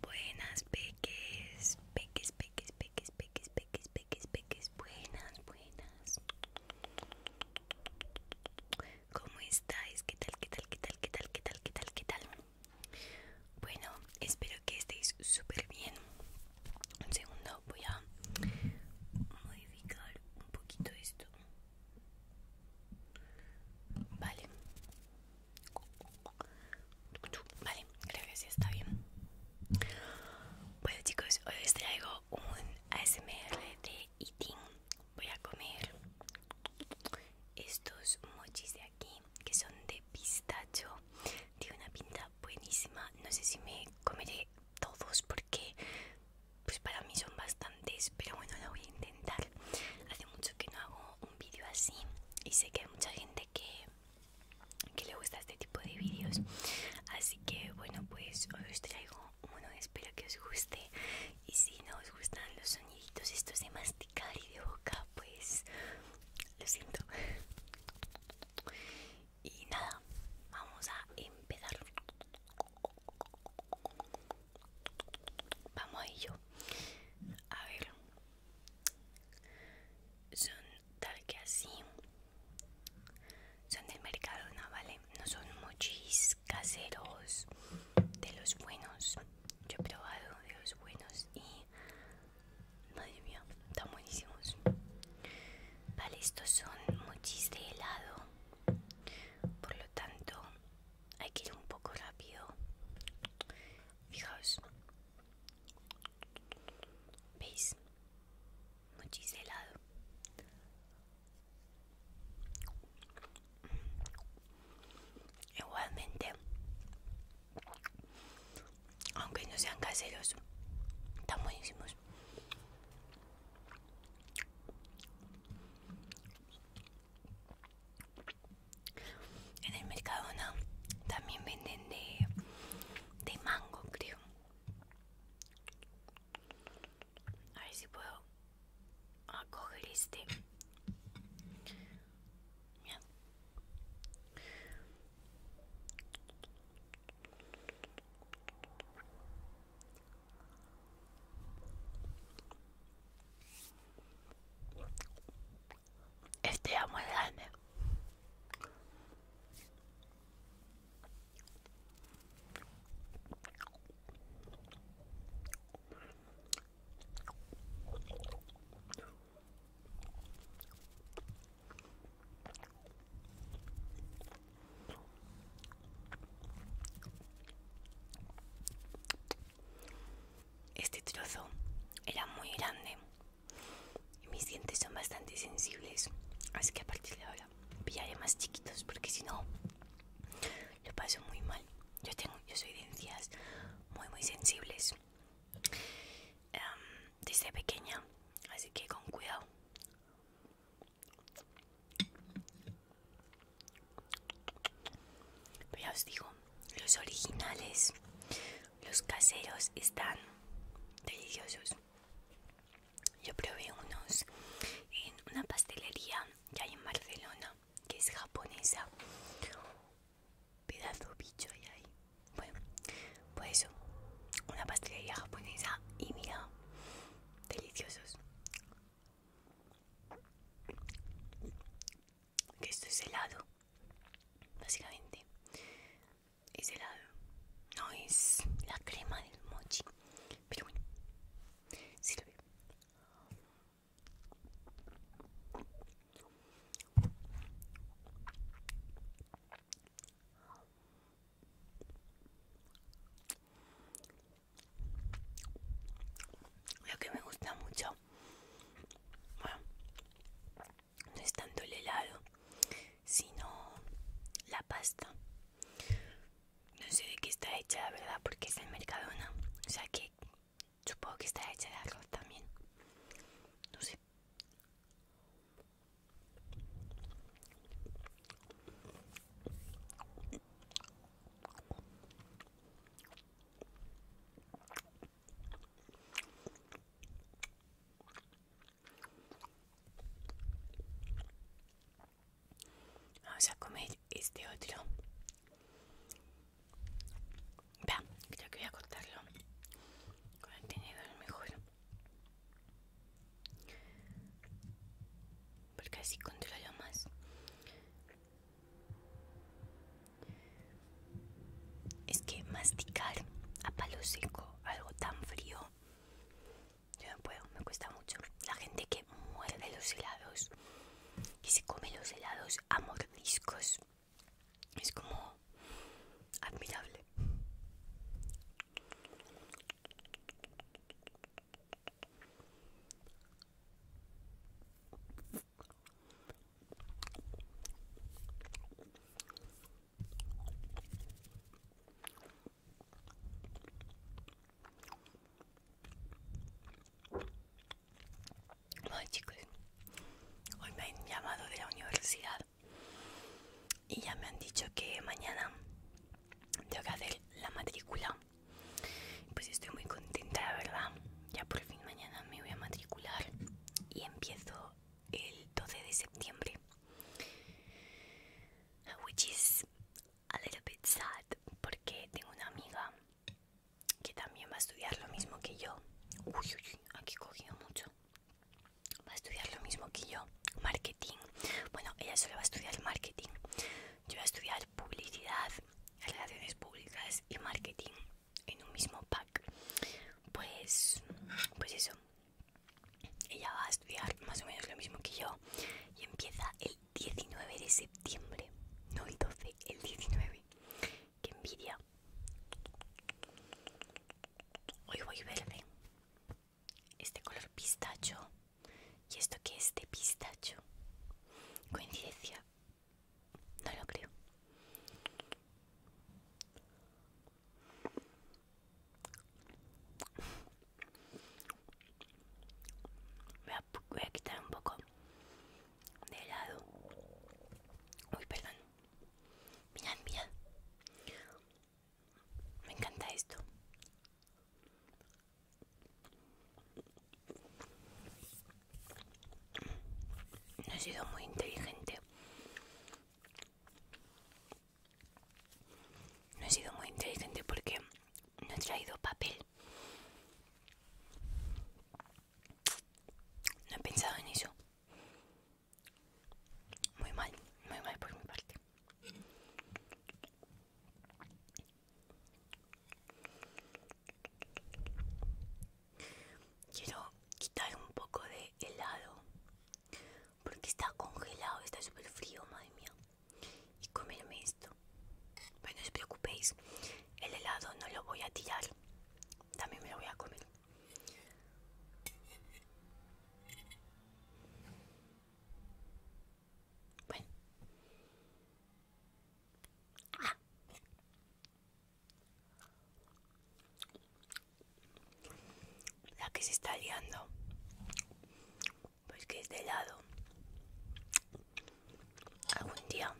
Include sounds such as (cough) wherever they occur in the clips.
Buenas peques, peques, peques, peques, peques, peques, peques, peques, buenas, buenas. ¿Cómo estáis? ¿Qué tal, qué tal, qué tal, qué tal, qué tal, qué tal, qué tal? Bueno, espero que estéis súper bien. Un segundo, voy a modificar un poquito esto. Vale. Vale, creo que sí está bien. Bueno chicos, hoy les traigo un ASMR de eating. Voy a comer estos mochis de aquí que son de pistacho. Tiene una pinta buenísima. No sé si me comeré todos porque pues para mí son bastantes, pero bueno, lo voy a intentar. Hace mucho que no hago un vídeo así y sé que hay mucha gente que, le gusta este tipo de vídeos. Así que bueno, pues hoy os traigo uno, espero que os guste. Y si no os gustan los soniditos estos de masticar y de boca, pues lo siento. (laughs) Y nada, vamos a empezar. Vamos a ello. A ver. Son tal que así. Son del mercado no ¿vale? No son mochis caseros de los buenos. Yo he probado de los buenos y... Madre mía, están buenísimos. Vale, estos son mochis de helado. Por lo tanto, hay que ir un poco rápido. Fijaos. ¿Veis? Muchísimo helado. Igualmente, aunque no sean caseros, están buenísimos. En el mercado no también venden de, de mango, creo. A ver si puedo acoger este. Este amo grande. Este trozo era muy grande y mis dientes son bastante sensibles, así que a partir de ahora pillaré más chiquitos porque si no lo paso muy mal. Yo tengo, yo soy de muy muy sensibles desde pequeña, así que con cuidado. Pero ya os digo, los originales, los caseros están deliciosos. Yo probé unos en una pastelería que hay en Barcelona, que es japonesa. Pedazo bicho hay Bueno, pues eso, una pastelería japonesa y mira, deliciosos que esto es helado básicamente es helado no es la crema del mochi pero bueno lo que me gusta mucho, bueno, no es tanto el helado, sino la pasta. No sé de qué está hecha, la verdad, porque es en Mercadona. O sea que supongo que está hecha de arroz también. No sé. Vamos a comer este otro. Ya, creo que voy a cortarlo con el tenedor mejor porque así controlo más es que masticar a palo seco algo tan frío yo no puedo me cuesta mucho la gente que muerde los helados que se come los helados a mordiscos es como admirable Hola chicos, hoy me han llamado de la universidad y ya me han dicho que mañana tengo que hacer la matrícula pues estoy muy contenta la verdad ya por fin mañana me voy a matricular y empiezo el 12 de septiembre which is a little bit sad porque tengo una amiga que también va a estudiar lo mismo que yo uy aquí he cogido mucho va a estudiar lo mismo que yo, marketing. Bueno, ella solo va a estudiar marketing. Yo voy a estudiar publicidad, relaciones públicas y marketing en un mismo pack. Pues, pues eso. Ella va a estudiar más o menos lo mismo que yo y empieza el 19 de septiembre, no el 12, el 19. Qué envidia. Hoy voy verde este color pistacho y esto que es de pistacho. Coincidencia. No lo creo. Voy a, quitar un poco de helado. Uy, perdón. Mirad, mirad. Me encanta esto. No he sido muy inteligente. No he sido muy inteligente porque no he traído papel. No he pensado en eso. Muy mal, muy mal por mi parte. Quiero quitar un poco de helado porque está congelado, está súper frío, madre mía. Y comerme esto. Pero no os preocupéis, el helado no lo voy a tirar, también me lo voy a comer. Bueno. Ah. La que se está liando. Pues que es de lado. Algún día.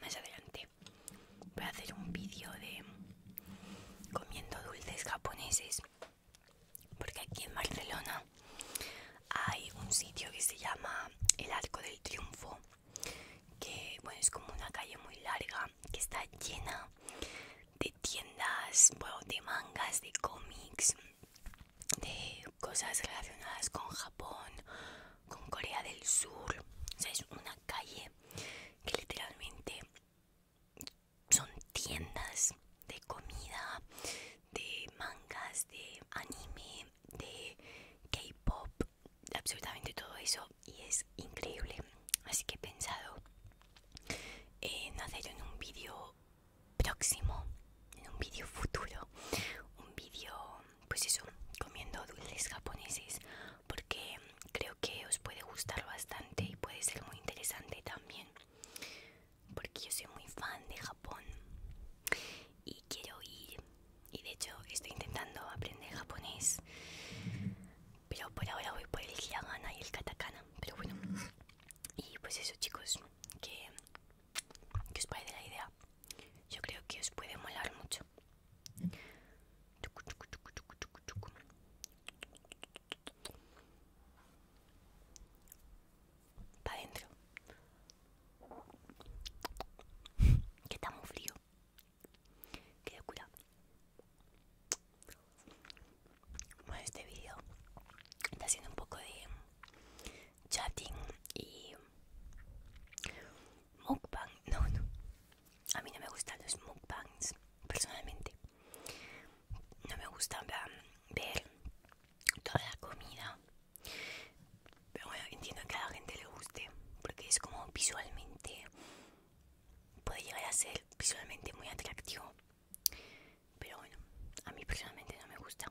Más adelante voy a hacer un vídeo de comiendo dulces japoneses porque aquí en Barcelona hay un sitio que se llama el Arco del Triunfo que bueno es como una calle muy larga que está llena de tiendas de mangas de cómics de cosas relacionadas con Japón con Corea del Sur o sea es una calle que literalmente son tiendas de comida, de mangas, de anime, de K-pop, absolutamente todo eso y es increíble. Así que he pensado en hacer en un vídeo próximo, en un vídeo futuro, un vídeo, pues eso, comiendo dulces japoneses porque creo que os puede gustar bastante y puede ser muy interesante también porque yo soy muy fan de Japón y quiero ir y de hecho estoy intentando aprender japonés pero por ahora voy por el hiragana y el katakana pero bueno y pues eso chicos que, os parece la idea yo creo que os puede molar mucho Pa' adentro. Que está muy frío. Qué locura. Bueno, este vídeo está haciendo un poco de chatting y mukbang. No, no a mí no me gustan los mukbangs personalmente no me gusta ver toda la comida pero bueno entiendo que a la gente le guste porque es como visualmente puede llegar a ser visualmente muy atractivo pero bueno a mí personalmente no me gusta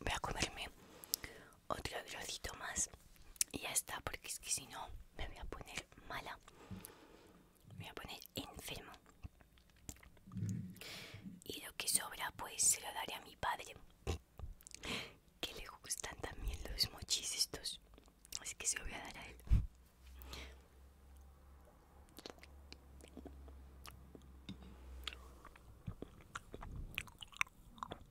voy a comerme otro trocito más y ya está, porque es que si no me voy a poner mala, me voy a poner enfermo Y lo que sobra, pues se lo daré a mi padre, que le gustan también los mochis estos, así que se lo voy a dar a él.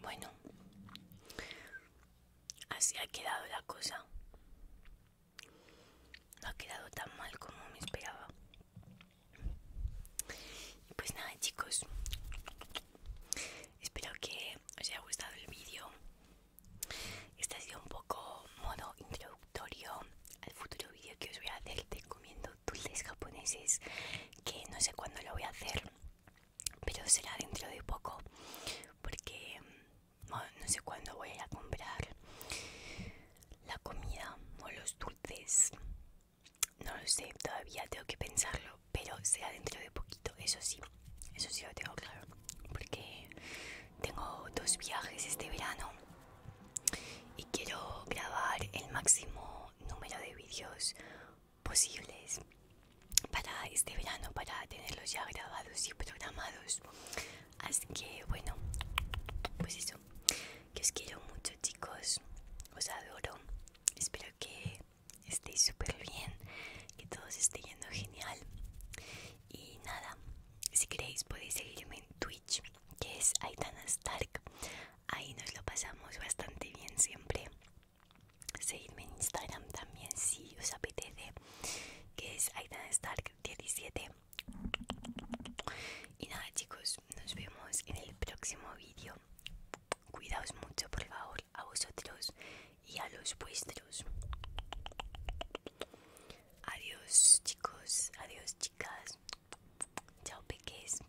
Bueno, así ha quedado la cosa. No ha quedado tan mal como me esperaba. Y pues nada chicos, espero que os haya gustado el vídeo. Este ha sido un poco modo introductorio al futuro vídeo que os voy a hacer de comiendo dulces japoneses que no sé cuándo lo voy a hacer pero será dentro de poco porque mm, no, sé cuándo voy a ir a comprar la comida o los dulces no lo sé todavía tengo que pensarlo pero será dentro de poquito eso sí eso sí lo tengo claro porque tengo dos viajes este verano y quiero grabar el máximo número de vídeos posibles para este verano para tenerlos ya grabados y programados así que bueno pues eso que os quiero mucho chicos os adoro espero que estéis súper bien que todo se esté yendo genial y nada si queréis podéis seguirme en Twitch que es Aitana Stark ahí nos lo pasamos bastante bien siempre Seguidme en Instagram también si os apetece, que es Aitana 17. Y nada chicos, nos vemos en el próximo vídeo. Cuidaos mucho por favor a vosotros y a los vuestros. Adiós chicos, adiós chicas. Chao peques.